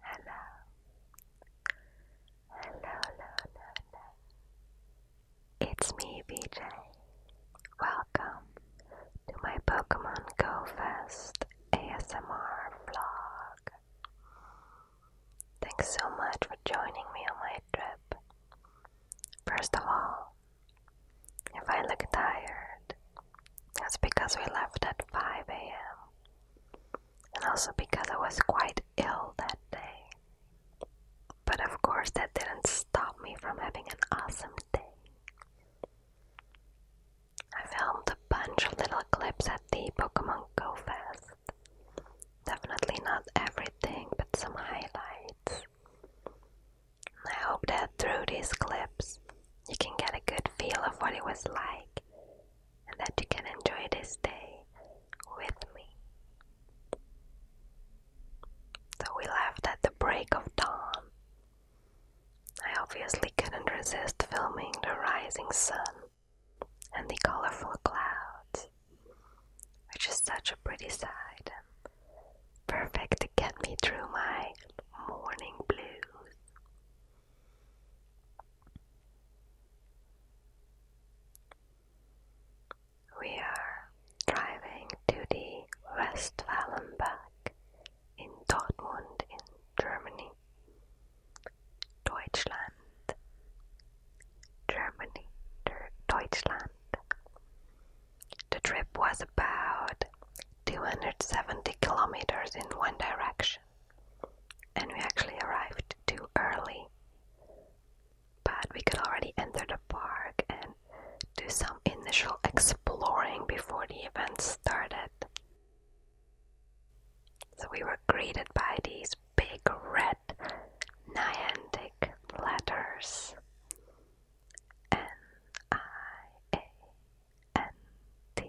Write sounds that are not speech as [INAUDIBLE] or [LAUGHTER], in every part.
hello, hello, hello, hello. It's me, BJ. Welcome to my Pokemon Go Fest ASMR vlog. Thanks so much for joining me on my trip. First of all, if I look tired, that's because we left at 5 a.m. and also because I was quite ill that day. But of course, that didn't stop me from having an awesome day. I filmed a bunch of little clips at the Pokemon Go Fest. Definitely not everything, but some highlights. I hope that through these clips you can get a good feel of what it was like and that you can enjoy this day with me. So we left at the break of dawn. I obviously couldn't resist filming the rising sun and the colorful clouds, which is such a pretty sight perfect to get me through my morning blues. We are driving to the westfalen in Dortmund in Germany. Deutschland, Germany, Deutschland. The trip was about 270 kilometers in one direction, and we actually arrived too early. But we could already enter the park and do some initial exploring before the event started. So we were greeted by these big red Niantic letters N I A N-T-I-C.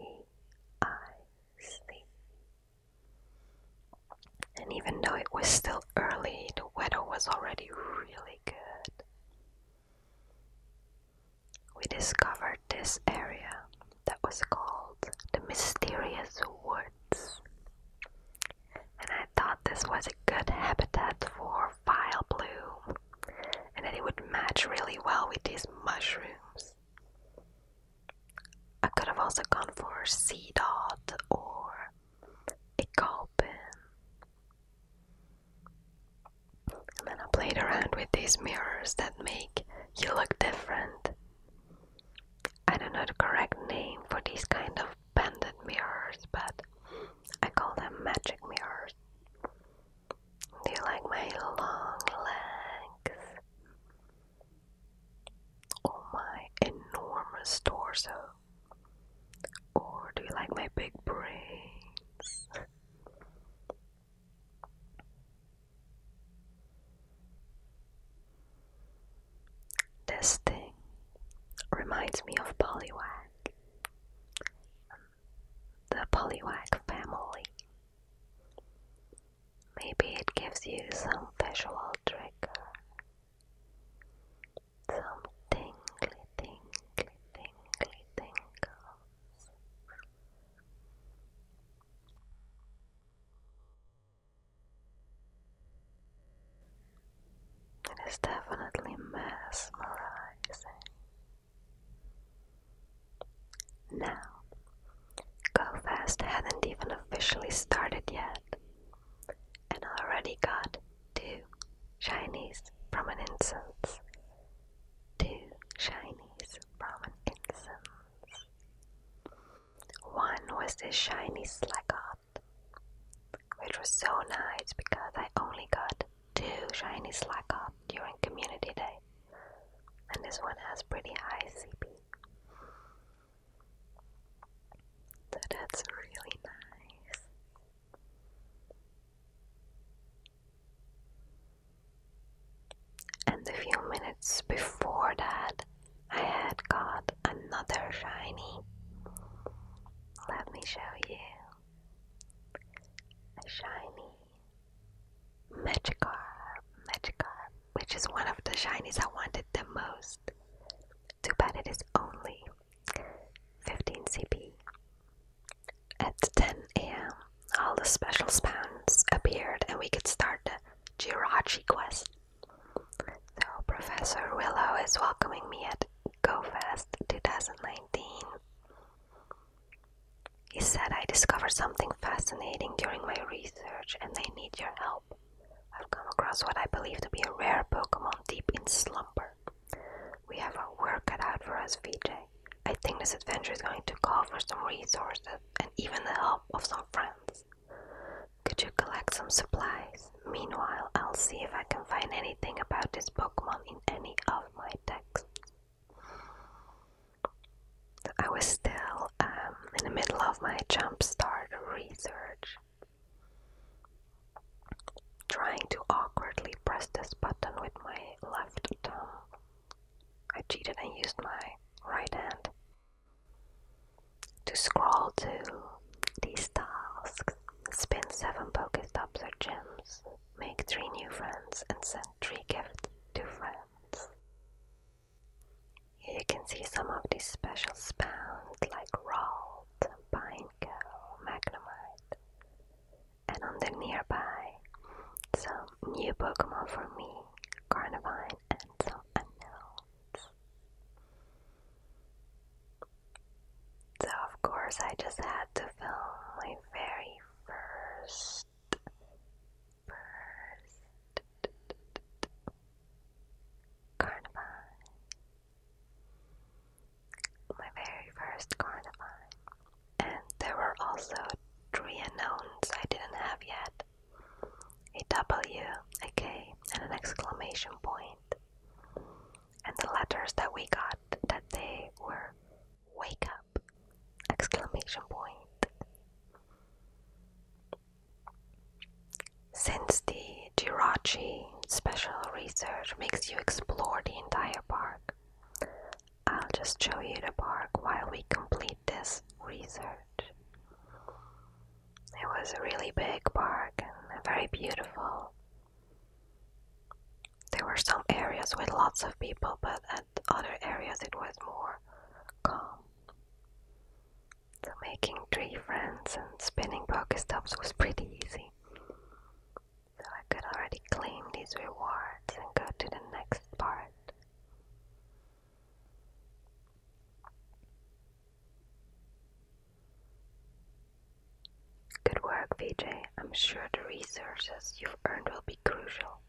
And even though it was still early, the weather was already really good. We discovered this area that was called the Mysterious Woods. And I thought this was a good habitat for file blue and then it would match really well with these mushrooms. I could have also gone for a sea dot or a gulpin. And then I played around with these mirrors that make you look different. I don't know the correct name for these kind of banded mirrors, but I call them magic mirrors. Do you like my long legs? Or oh, my enormous torso? Or do you like my big brains? This thing reminds me of Poliwag the Poliwag family. Maybe it gives you some visual trick, some tingly, tingly, tingly tingles. It is definitely mesmerizing. Now, Go Fest hadn't even officially started yet, and already got two Chinese from an Two shinies from an One was the shiny Slackoth, which was so nice because I only got Two Shiny Slack Up during Community Day, and this one has pretty high CP. So that's really nice. And a few minutes before that, I had got another shiny. Let me show you. A shiny Magikarp, Magikarp, which is one of the shinies I wanted the most. Too bad it is only 15 CP. At 10 am, all the special spawns appeared and we could start the Jirachi quest. So, Professor Willow is welcoming me at GoFest 2019. He said, I discovered something fascinating during my research and they need your help. I've come across what I believe to be a rare Pokemon deep in slumber. We have a work cut out for us, VJ. I think this adventure is going to call for some resources and even the help of some friends. Could you collect some supplies? Meanwhile, I'll see if I can find anything about this Pokemon in any of my texts. I was still um, in the middle of my jumpstart research, trying to awkwardly press this button with my left thumb. I cheated and used my right hand to scroll to these tasks. Spin seven poker Pokestops or gems make three new friends and send three gifts to friends. you can see some of these special spawns like Ralt, Pineco, Magnemite, and on the nearby some new Pokemon for me, Carnivine, and some unknowns. So of course I just had to film my very first. First. Carnivine. My very first Carnivine. And there were also three unknowns I didn't have yet. A W, a K, and an exclamation point. And the letters that we got that they were Wake up! Exclamation point. Since the Jirachi special research makes you explore the entire park, I'll just show you the park while we complete this research. It was a really big park and very beautiful. There were some areas with lots of people, but at other areas it was more calm. So making tree friends and spinning Pokestops was pretty easy. So I could already claim these rewards and go to the next part. Good work, Vijay. I'm sure the resources you've earned will be crucial.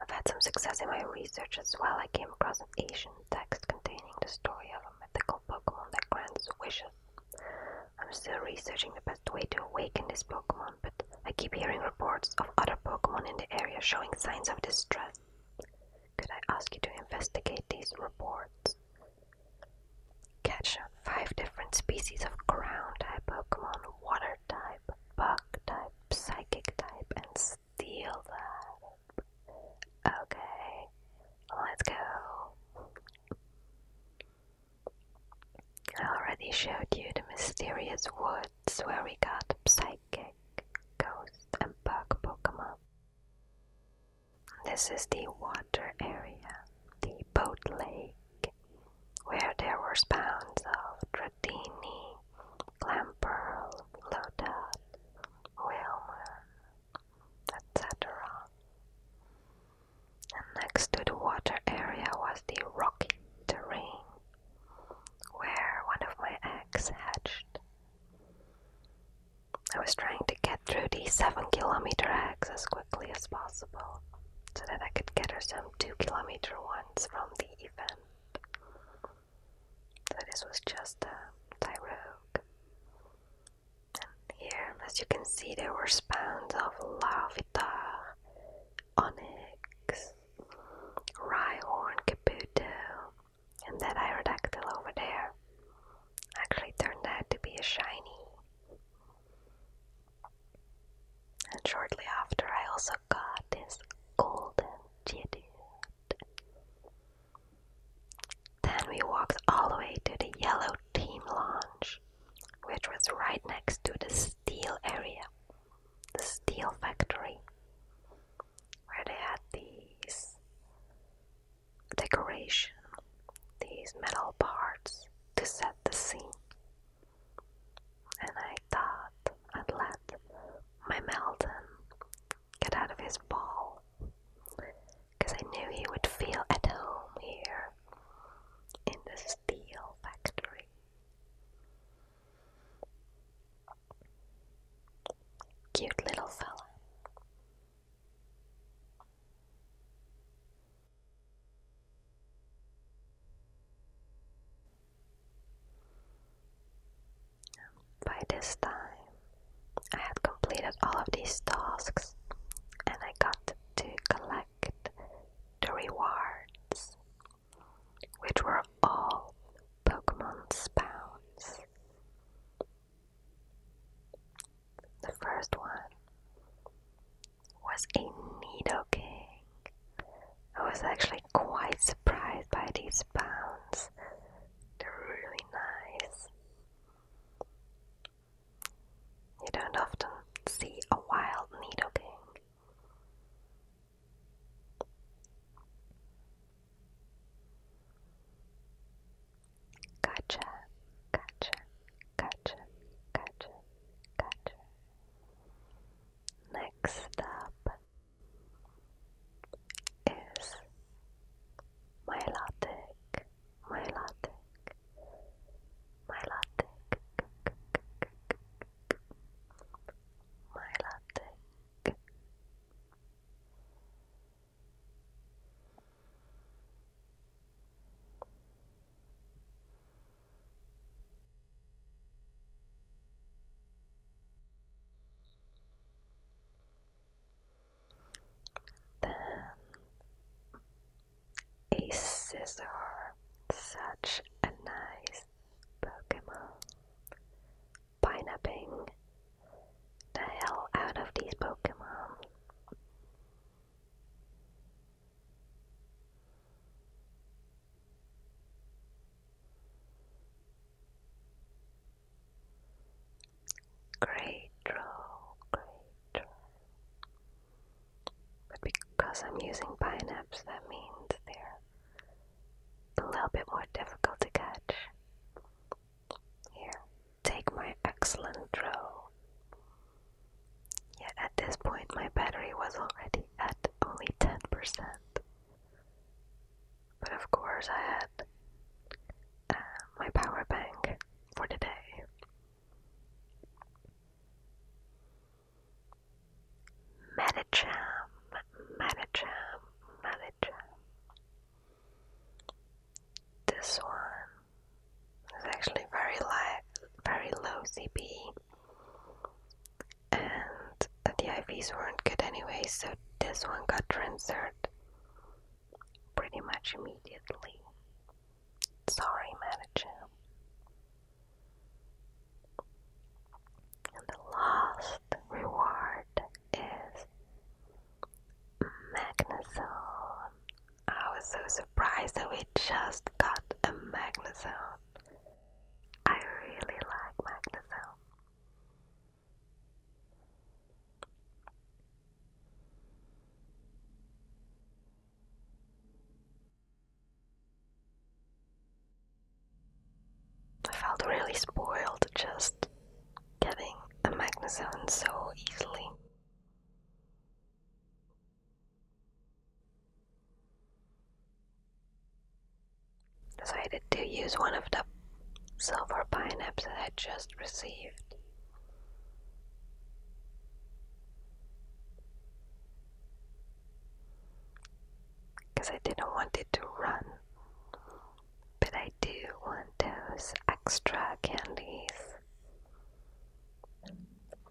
I've had some success in my research as well. I came across an ancient text containing the story of a mythical Pokemon that grants wishes. I'm still researching the best way to awaken this Pokemon, but I keep hearing reports of other Pokemon in the area showing signs of distress. Could I ask you to investigate these reports? Catch five different species of ground type Pokemon, water type, bug type, psychic type, and steel type. Okay, let's go. I already showed you the mysterious woods where we got psychic, ghost, and bug Pokemon. This is the water area, the boat lake where there were spawns of Dratini, Clamperl, Lotus, Whaleman, etc. And next to the water area was the rocky terrain where one of my eggs hatched. I was trying to get through the 7 kilometer eggs quickly as possible so that I could get her some 2 kilometer ones from the event. So this was just a Tyrogue. And here, as you can see, there were spawns of Larvitar, Onyx, Rhyhorn, Kabuto, and that Aerodactyl over there actually turned out to be a shiny. And shortly after, I also got this golden jitty. Then we walked all the way to the yellow team lounge, which was right next to the steel area, the steel factory, where they had these decoration, these metal parts to set the scene. And I thought I'd let my Melton get out of his ball, I knew he would feel at home here in the steel factory. Cute little fella. By this time, I had completed all of these tasks and I got to collect the rewards, which were all Pokemon spawns. The first one was a needle king. I was actually quite surprised by these pounds. They're really nice. You don't often see a wild needle king. Gotcha, gotcha, gotcha, gotcha. Gotcha. Next up is Milotic, Milotic, Milotic, Milotic. Then a scissor, such a nice Pokemon. Pineapping the hell out of these Pokemon. Great draw, great But because I'm using pineapps, that means they're a little bit more difficult to catch. Here, take my excellent draw. Yet at this point, my battery was already at only 10%. But of course, I had uh, my power bank for the day. Metacham, Metacham, This one it's actually very li very low CP, and the IVs weren't good anyway, so this one got transferred pretty much immediately. Sorry, manager. And the last reward is Magnezone I was so surprised that we just got a Magnezone. I really like Magnezone. I felt really spoiled just getting a Magnezone so easily. Decided to use one of the silver pine apps that I just received. Because I didn't want it to run. But I do want those extra candies.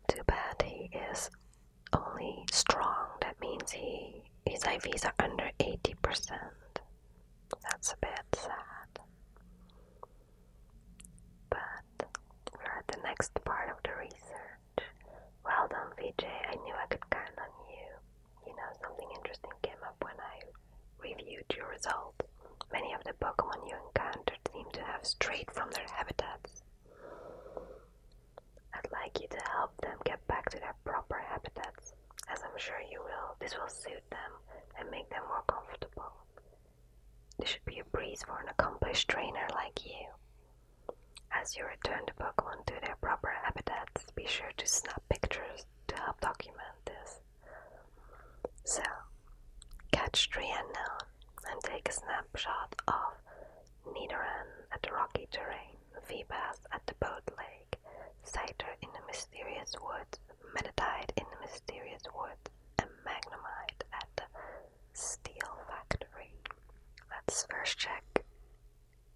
Too bad he is only strong. That means he his IVs are under 80%. That's a bit sad. But we're at the next part of the research. Well done, Vijay. I knew I could count on you. You know, something interesting came up when I reviewed your results. Many of the Pokemon you encounter seem to have strayed from their habitats. I'd like you to help them get back to their proper habitats, as I'm sure you will. This will suit them and make them more comfortable. This should be a breeze for an accomplished trainer like you. As you return the Pokemon to their proper habitats, be sure to snap pictures to help document this. So, catch three unknown and take a snapshot of Nidoran at the rocky terrain, Feebas at the boat lake, Cyter in the mysterious woods, Meditite in the mysterious woods, and Magnemite at the steel factory. Let's first check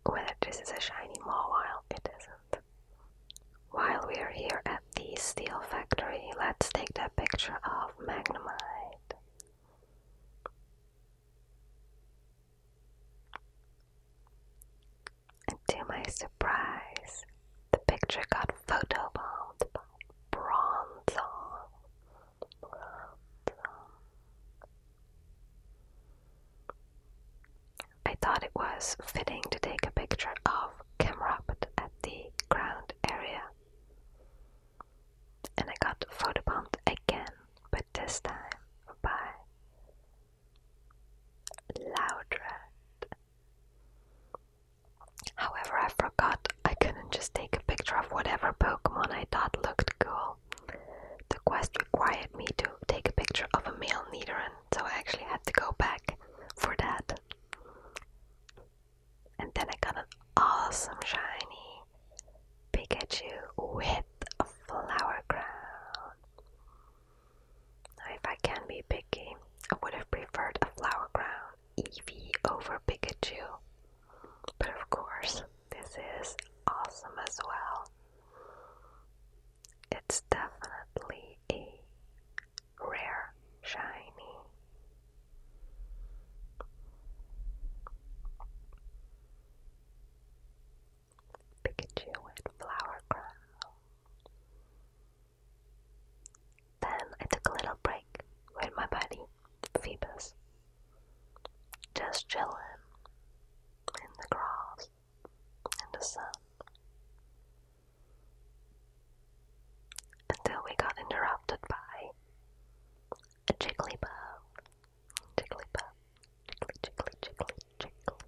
whether this is a shiny Mawile. It isn't. While we are here at the steel factory. Let's take that picture of Magnemite. to my surprise, the picture got photobombed by Bronzong. I thought it was fitting to take a picture of Camrupt at the ground area and I got photobombed again, but this time by Loudred. However, I forgot I couldn't just take a picture of whatever Pokemon I thought looked cool. The quest required me to take a picture of a male Nidoran, so I actually had to go back for that. And then I got an awesome shiny Pikachu with a flower crown. Now, if I can be picky, I would have preferred a flower crown EV over Pikachu. But of course, this is awesome as well. It's definitely a rare shiny. Pikachu and Flower Crown. Then I took a little break with my buddy, Phoebus. Just chilling in the grass, in the sun, until we got interrupted by a Jigglypuff. Jigglypuff. Jiggly, jiggly, jiggly, jiggly.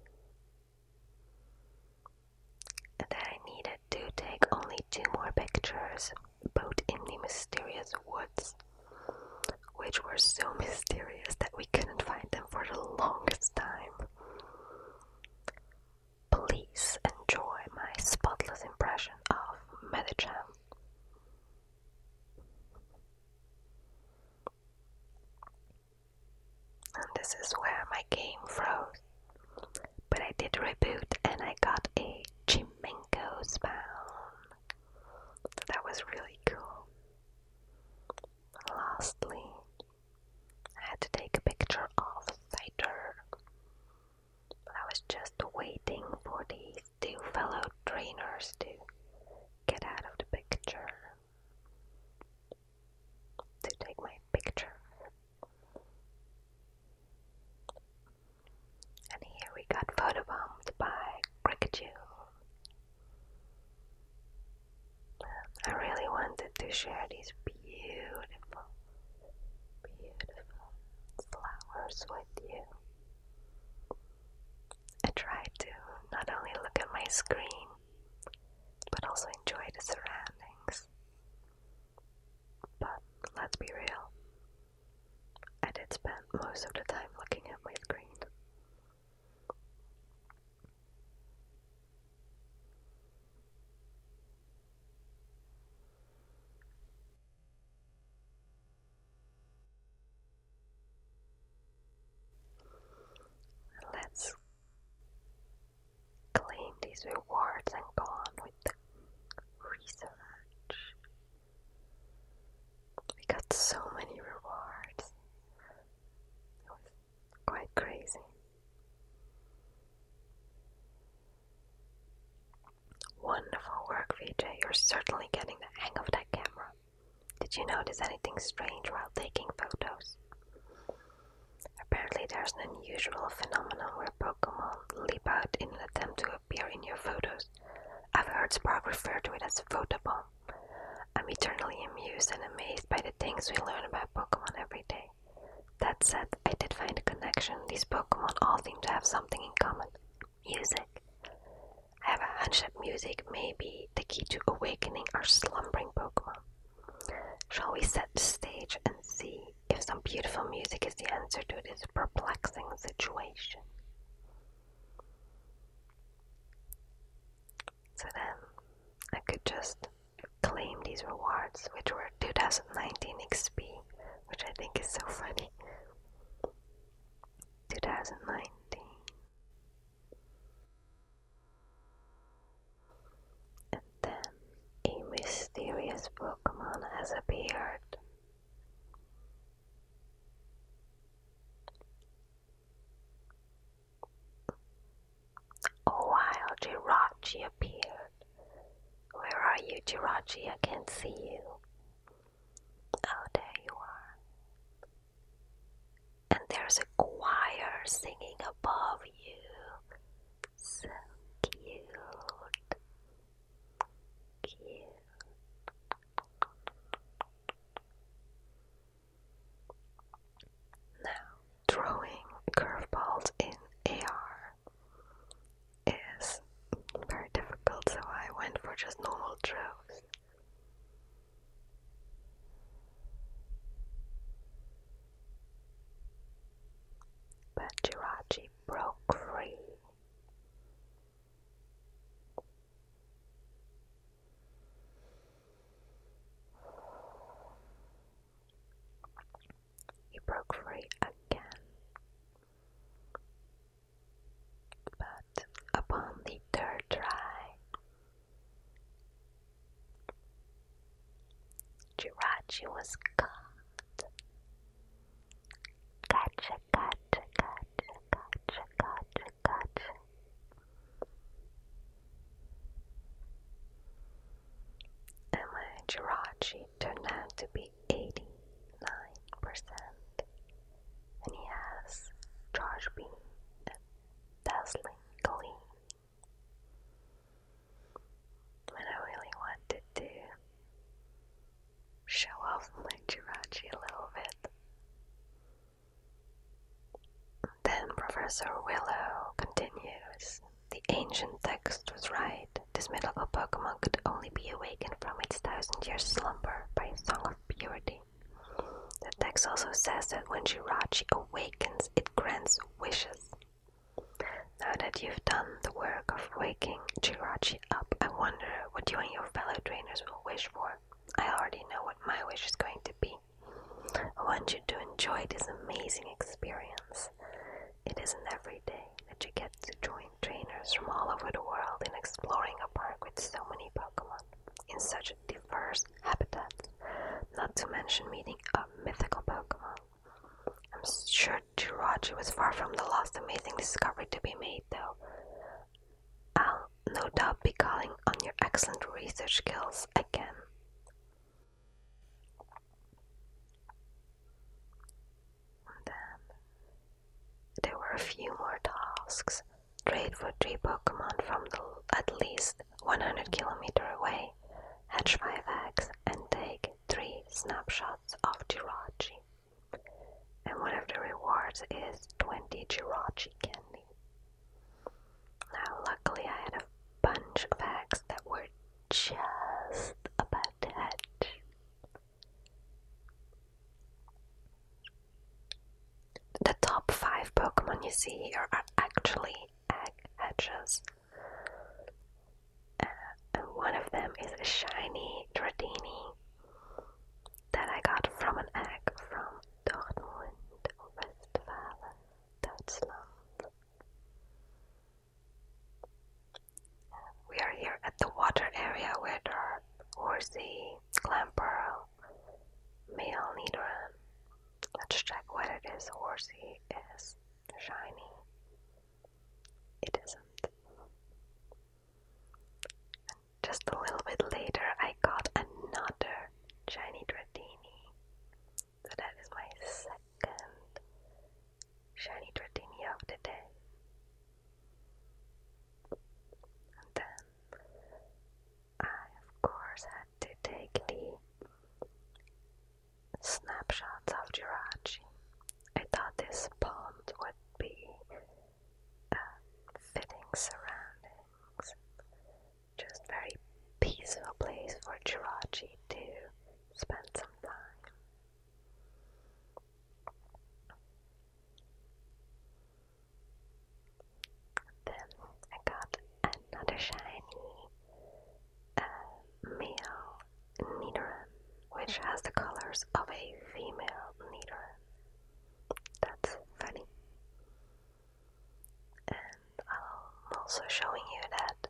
That I needed to take only two more pictures, both in the mysterious woods, which were so [LAUGHS] mysterious that we couldn't find them for the longest time. Please enjoy my spotless impression of Medichan. And this is where my game froze. But I did reboot and I got a Chimenko spawn. So that was really cool. Lastly, I had to take a picture of Cider I was just waiting for these two fellow trainers to get out of the picture. To take my picture. And here we got photobombed by Cricketune. I really wanted to share these beautiful beautiful flowers with you. I tried to not only look at my screen, but also enjoy the surroundings. But let's be real, I did spend most of the time looking at my screen. Let's claim these rewards and go on with the research. We got so many rewards. It was quite crazy. Wonderful work, VJ. You're certainly getting the hang of that camera. Did you notice anything strange while taking photos? Apparently, there's an unusual phenomenon where Pokemon leap out in an attempt to appear in your photos. I've heard Sprague refer to it as a photobomb. I'm eternally amused and amazed by the things we learn about Pokemon every day. That said, I did find a connection. These Pokemon all seem to have something in common. Music. I have a hunch that music may be the key to awakening our slumbering Pokemon. Shall we set the stage and see if some beautiful music is the answer to this perplexing situation? So then, I could just claim these rewards, which were 2019 XP, which I think is so funny. 2019. And then a mysterious Pokemon has appeared. A wild Jirachi appeared. Where are you, Jirachi? I can't see you. Oh, there you are. And there's a choir singing above you. So cute. Cute. Now, throwing curveballs in AR is very difficult, so I went for just normal draws. But Jirachi broke free. He broke free again. But upon the third try, Jirachi was caught. Gotcha, gotcha, gotcha, gotcha, gotcha, gotcha. And my Girachi turned out to be 89%, and he has George B. a dazzling gleam. And I really wanted to show off my Jirachi a little bit. Then Professor Willow continues. The ancient text was right. This mythical Pokemon could only be awakened from its thousand years slumber by a song of purity. The text also says that when Jirachi awakens, it grants wishes. Now that you've done the work of waking Jirachi up, I wonder what you and your fellow trainers will wish for. I already know what my wish is going to be. I want you to enjoy this amazing experience. It isn't every day that you get to join trainers from all over the world in exploring a park with so many Pokemon in such diverse habitats, not to mention meeting a mythical Pokemon. I'm sure to was far from the last amazing discovery to be made, though. I'll no doubt be calling on your excellent research skills again then there were a few more tasks. Trade for three Pokemon from the, at least 100 km away, hatch 5 eggs, and take 3 snapshots of Jirachi. And one of the rewards is 20 Jirachi candy. Now, luckily, I had a bunch of eggs that were just about to hatch. The top five Pokemon you see here are actually egg hatches. Uh, and one of them is a shiny Dratini that I got from an egg from Dortmund, Westfalen, Deutschland. We are here at the water area where there are horsey, clamperl, male needran. Let's check whether this horsey is shiny. It isn't. Just a little bit later, I got another shiny Dratini. So that is my second shiny Dratini of the day. And then I of course had to take the snapshots of Jirachi. I thought this pond would be a uh, fitting surroundings. Just very peaceful place for Jirachi to spend some time. Then I got another shiny uh, male Nidoran, which has the colors of a female Nidoran. That's funny. And I'm also showing you that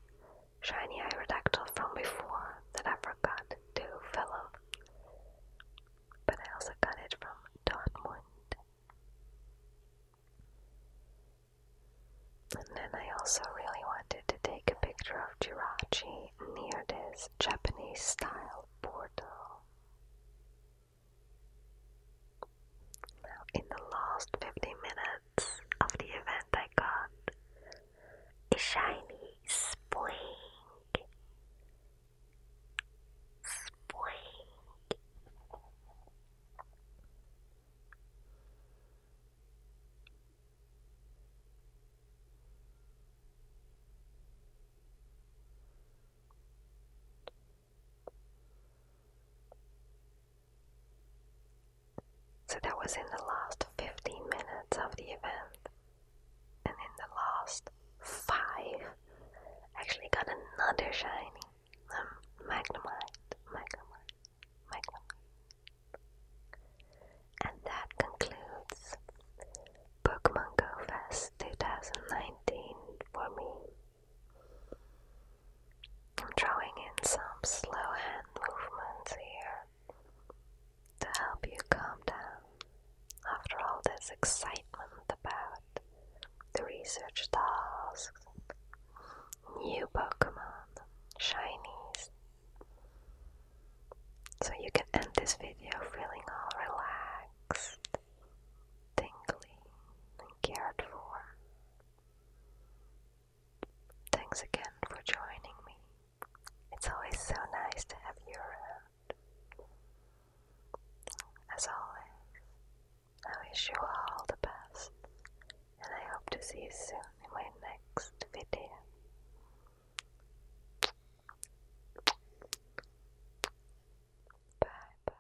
shiny Aerodactyl from before that I forgot to follow, But I also got it from Dortmund. And then I also really wanted to take a picture of Girachi near this Japanese style portal. Now, in the last fifty minutes, of the event I got a shiny spring. Spring. So that was in the last 15 minutes of the event. And in the last 5, actually got another shiny. Um, Magnemite, Magnemite, Magnemite. And that concludes Pokemon Go Fest 2019 for me. I'm drawing in some slow hand movements here to help you calm down after all this excitement about the research tasks, new Pokemon, shinies. So you can end this video feeling all relaxed, tingly, and cared for. Thanks again for joining me. It's always so nice to have you around. As always, I wish you all the best, and I hope to see you soon in my next video. Bye bye.